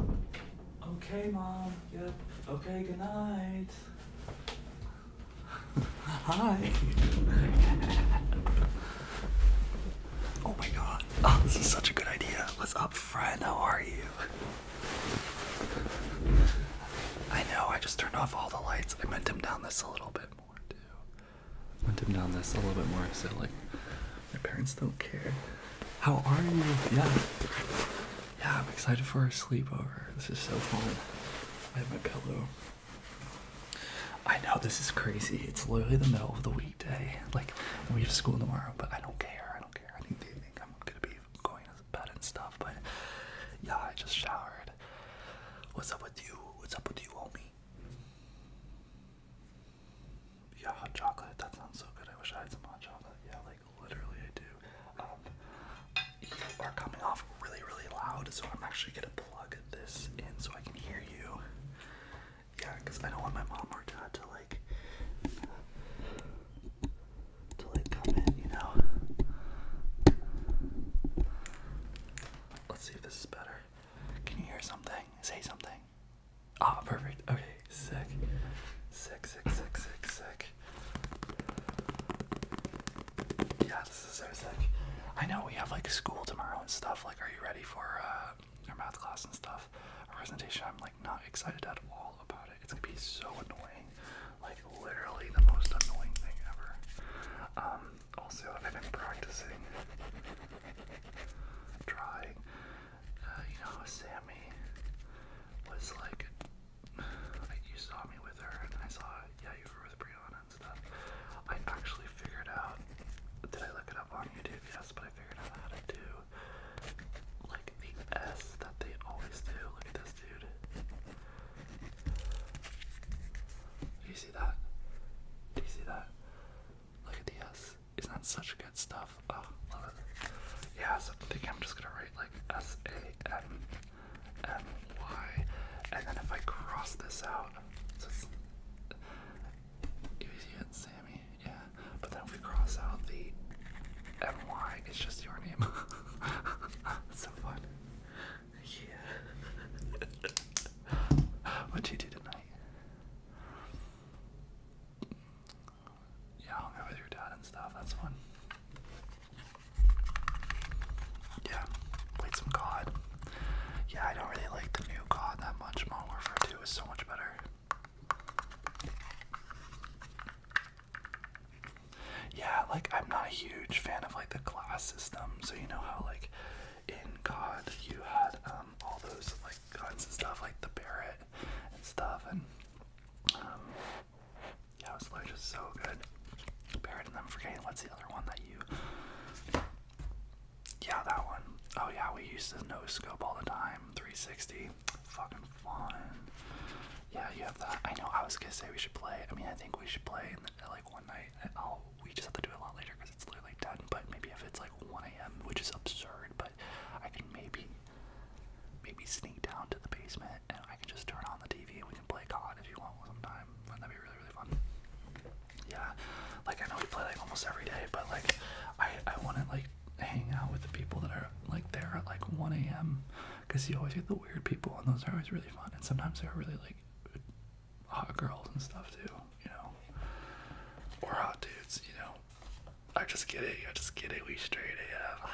Okay, Mom. Yep. Okay, good night. Hi. oh my god. Oh, this is such a good idea. What's up, friend? How are you? I know, I just turned off all the lights. I meant him down this a little bit more, too. Went him down this a little bit more so, like, my parents don't care. How are you? Yeah. Yeah, I'm excited for our sleepover. This is so fun. I have my pillow. I know this is crazy. It's literally the middle of the weekday. Like, we have school tomorrow, but I don't care. I don't care. I think they think I'm gonna be going to bed and stuff, but yeah, I just showered. What's up with you? What's up with you, homie? Yeah, hot chocolate. That sounds so good. I wish I had some hot chocolate. Yeah, like literally, I do. Um, you are coming off really, really loud, so I'm actually gonna plug this in so I can hear you. Yeah, I don't want my mom or dad to like to like come in, you know. Let's see if this is better. Can you hear something? Say something. Ah, perfect. Okay, sick. Sick, sick, sick, sick, sick. Yeah, this is so sick. I know we have like school tomorrow and stuff. Like, are you ready for uh, math class and stuff? presentation, I'm like not excited at all about it. It's gonna be so annoying. Like, literally the most annoying thing ever. Um, also, I've been practicing. Trying uh, you know, Sammy was like, like, you saw me with her, and I saw, yeah, you were with Brianna and stuff. I actually figured out, did I look it up on YouTube? Yes, but I figured out how to do, like, the S that they always do. Look at this dude. Do you see that? Do you see that? Look at the S is isn't that such good stuff? Oh, love it. Yeah, so I think I'm just gonna write like S A M M Y, and then if I cross this out, so it's easy and Sammy, yeah. But then if we cross out the M Y, it's just your name. so fun. Yeah. What'd you do tonight? Yeah, I'll with your dad and stuff. That's fun. Yeah, played some COD. Yeah, I don't really like the new COD that much. Modern Warfare 2 is so much better. Yeah, like I'm not a huge fan of like the class system. So you know how like in COD you had um all those like like guns and stuff, like the parrot and stuff, and um, yeah, it was like just so good. Barrett, and I'm what's the other one that you. Yeah, that one. Oh yeah, we used to no scope all the time, 360. Fucking fun. Yeah, you have that. I know. I was gonna say we should play. I mean, I think we should play and the, like one night. i we just have to do it a lot later because it's literally 10. But maybe if it's like 1 a.m., which is absurd, but I can maybe maybe sneak down to the basement and I can just turn on the TV and we can play COD if you want sometime. Wouldn't that be really, really fun? Yeah, like I know we play like almost every day, but like I, I want to like hang out with the people that are like there at like 1 a.m. because you always get the weird people and those are always really fun. And sometimes they're really like hot girls and stuff too, you know, or hot dudes, you know. I'm just kidding. I'm just kidding. We straight AF.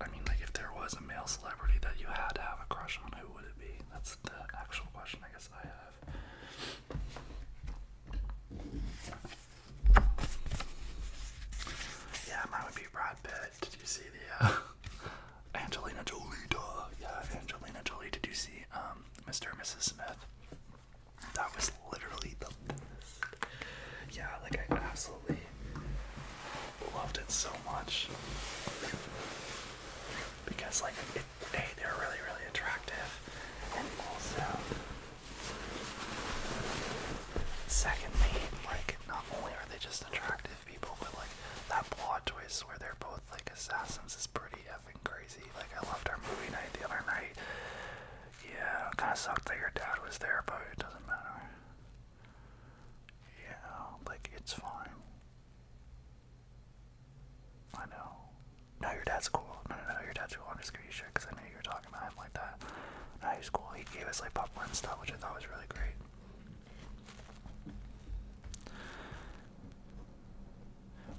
I mean, like, if there was a male celebrity that you had to have a crush on, who would it be? That's the actual question I guess I have. Yeah, mine would be Brad Pitt. Did you see the uh, Angelina Jolie? Duh. Yeah, Angelina Jolie. Did you see um Mr. and Mrs. Smith. That was literally the best. Yeah, like I absolutely loved it so much. Because like hey, they're really, really attractive. And also secondly, like not only are they just attractive people, but like that plot twist where they're both like assassins is pretty crazy. Like I loved our movie night the other night. Yeah, kind of sucked that your dad was there, but it doesn't matter. Yeah, like it's fine. I know. No, your dad's cool. No, no, no, your dad's cool. I'm just giving because I know you were talking about him like that. No, he's cool. He gave us like popcorn and stuff, which I thought was really great.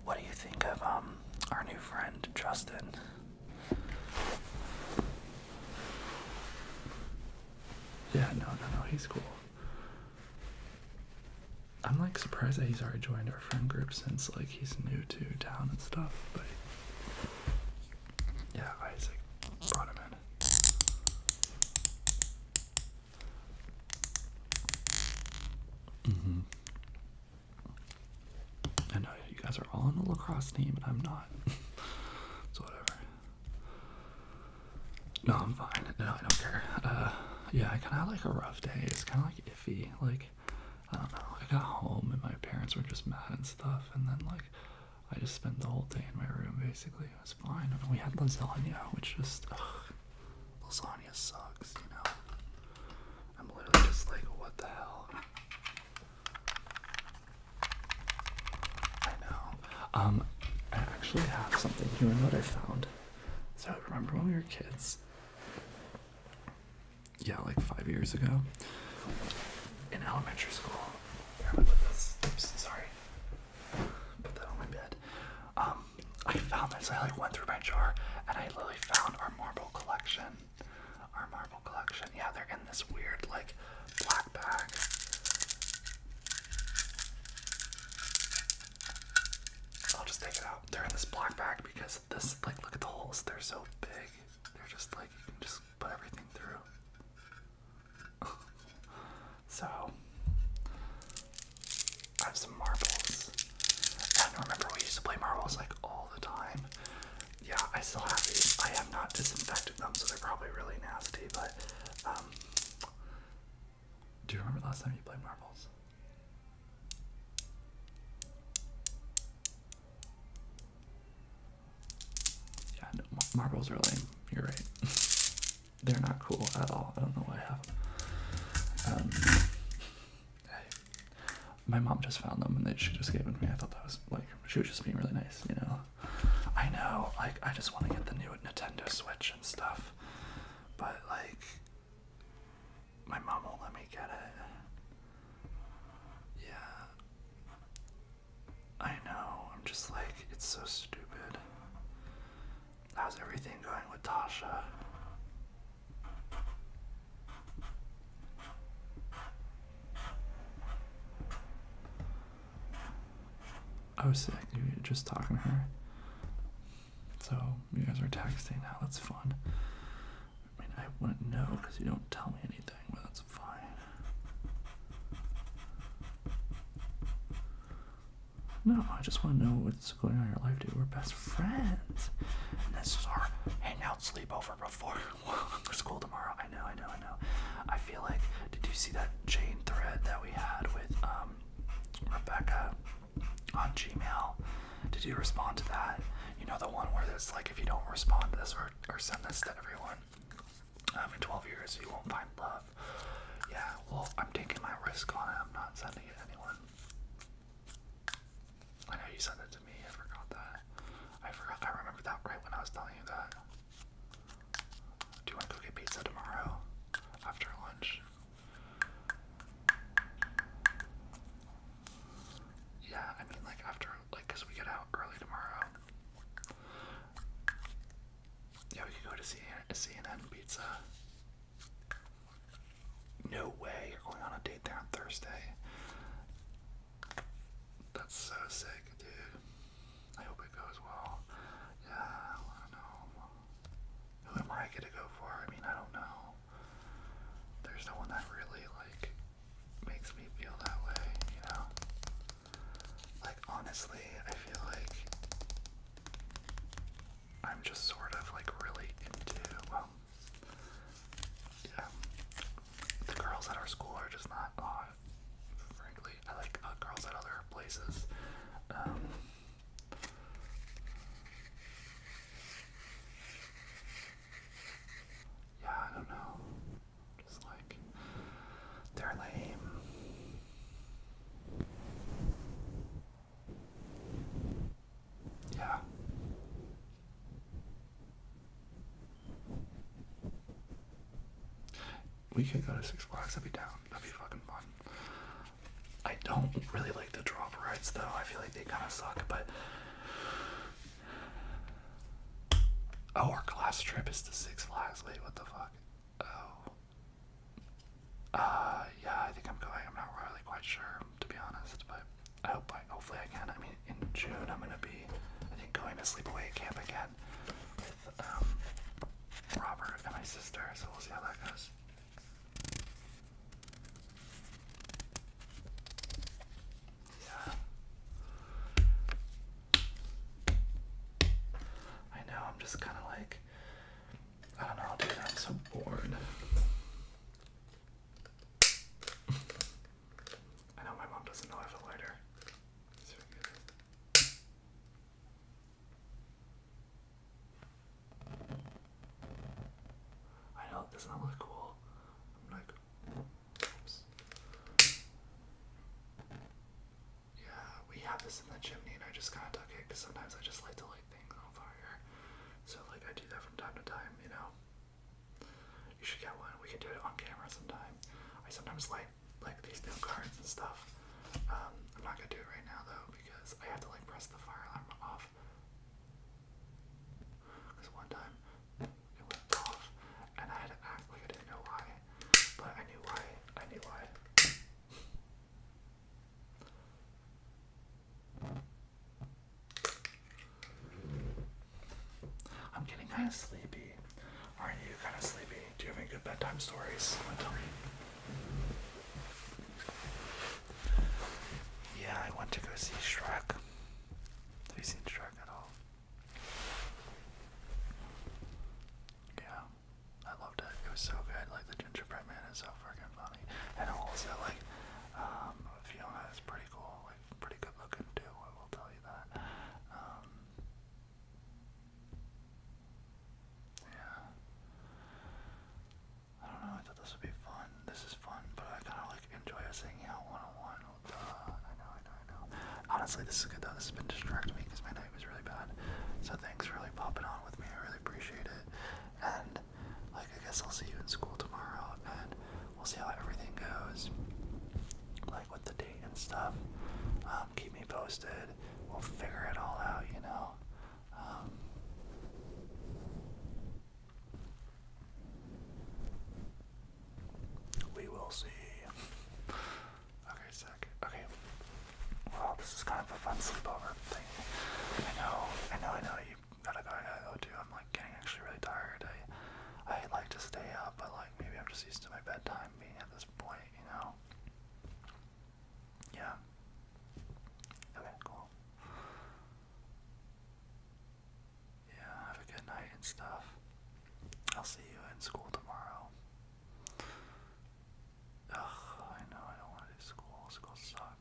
What do you think of um our new friend Justin? Yeah, no, no, no, he's cool. I'm like surprised that he's already joined our friend group since like he's new to town and stuff, but yeah, Isaac brought him in. Mm-hmm. I know you guys are all on the lacrosse team, and I'm not. so whatever. No, I'm fine. No, I don't care. Uh, yeah, I kind of had like a rough day. It's kind of like iffy. Like, I don't know. I got home and my parents were just mad and stuff, and then like, I just spent the whole day in my room basically. It was fine. we had lasagna, which just. Lasagna sucks, you know. I'm literally just like, what the hell? I know. Um, I actually have something. You remember what I found? So remember when we were kids? Yeah, like five years ago. In elementary school. Here, i put this. sorry. Put that on my bed. Um, I found this. I like went through my jar and I literally found our marble collection. Our marble collection. Yeah, they're in this weird like black bag. I'll just take it out. They're in this black bag because this like look at the holes. They're so big. They're just like you can just put everything through. so I have some marbles. I remember we used to play marbles like all the time. Yeah, I still have these. I have not disinfected them, so they're probably really nasty. But um, do you remember last time you played marbles? Yeah, no, marbles are lame. You're right. They're not cool at all. I don't know why I have them. Um, my mom just found them and she just gave them to me. I thought that was like she was just being really nice, you know. I know, like I just want to get the new Nintendo Switch and stuff, but like my mom won't let me get it. Yeah, I know. I'm just like it's so stupid. How's everything going with Tasha? I was sick, you were just talking to her. So you guys are texting now, that's fun. I mean, I wouldn't know because you don't tell me anything, but that's fine. No, I just want to know what's going on in your life, dude. We're best friends. And this is our hangout sleepover before school tomorrow. I know, I know, I know. I feel like, did you see that chain thread that we had with um, Rebecca on Gmail? Did you respond to that? You know, the one where it's like, if you don't respond to this or, or send this to everyone, um, in 12 years, you won't find love. Yeah, well, I'm taking my risk on it. I'm not sending it to anyone. I know you sent it to me. I forgot that. I forgot. I remember that right when I was telling you that. Do you want to go get pizza tomorrow after lunch? Yeah, I mean, like after, like, cause we get out early tomorrow. Yeah, we could go to CNN Pizza. No way you're going on a date there on Thursday. That's so sick, dude. I hope it goes well. Yeah, I know. Who am I gonna go for? I mean, I don't know. There's no one that really, like, makes me feel that way, you know? Like, honestly, I feel like I'm just sort of like really into, well, yeah. The girls at our school are just not uh, frankly. I like uh, girls at other places. Um, yeah, I don't know. Just like, they're lame. Yeah. We could go to Six Flags. I'd be down. That'd be fucking fun. I don't really like the drop rides though. I feel like they kind of suck. But oh, our class trip is to Six Flags. Wait, what the fuck? Oh, uh, yeah, I think I'm going. I'm not really quite sure, to be honest, but I hope I, hopefully I can. I mean, in June I'm gonna be, I think, going to sleepaway camp again with um Robert and my sister. So we'll see how that goes. Yeah. I know, I'm just kind of like I don't know, dude. I'm so bored. I know my mom doesn't know I have a lighter. I can get doesn't look cool? I'm like, Yeah, we have this in the chimney and I just kind of took it because sometimes I just like to like things on fire. So like I do that from time to time, you know. You should get one. We can do it on camera sometime. I sometimes light like these new cards and stuff. Um, I'm not gonna do it right now though because I have to like press the fire alarm off. Cause one time it went off and I had to act like I didn't know why, but I knew why. I knew why. I'm getting kind of sleepy. Aren't you kind of sleepy? Do you have any good bedtime stories? Yeah, I want to go see Shrek. Have you seen Shrek at all? Yeah, I loved it. It was so good. Like the gingerbread man is so freaking fun. And also, like, um, Fiona is pretty cool, like, pretty good looking too, I will tell you that. Um, yeah. I don't know, I thought this would be fun. This is fun, but I kind of like enjoy us hanging out one on one. Uh, I know, I know, I know. Honestly, this is good though. This has been distracting me because my night was really bad. So thanks for really popping on with me. I really appreciate it and like I guess I'll see you in school tomorrow and we'll see how everything goes. Like with the date and stuff. Um, keep me posted. We'll figure it all out, you know. Um, we will see. Okay, sec. Okay. Well, this is kind of a fun sleepover thing. I know, I know, I know, gotta go I go too. I'm like getting actually really tired. I I like to stay up, but like maybe I'm just used to my bedtime being at this point, you know. Yeah. Okay, cool. Yeah, have a good night and stuff. I'll see you in school tomorrow. Ugh, I know I don't want to do school. School sucks.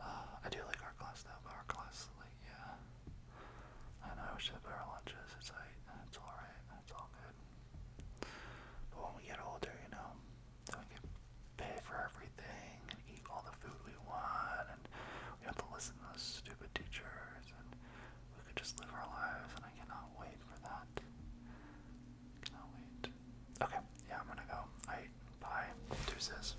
Uh, I do like our class though, but our class, like, yeah. I I wish they had better lunches. It's like, it's alright, it's all good. But when we get older, you know, we can pay for everything and eat all the food we want, and we have to listen to those stupid teachers, and we could just live our lives, and I cannot wait for that. I cannot wait. Okay, yeah, I'm gonna go. I Bye. Deuces.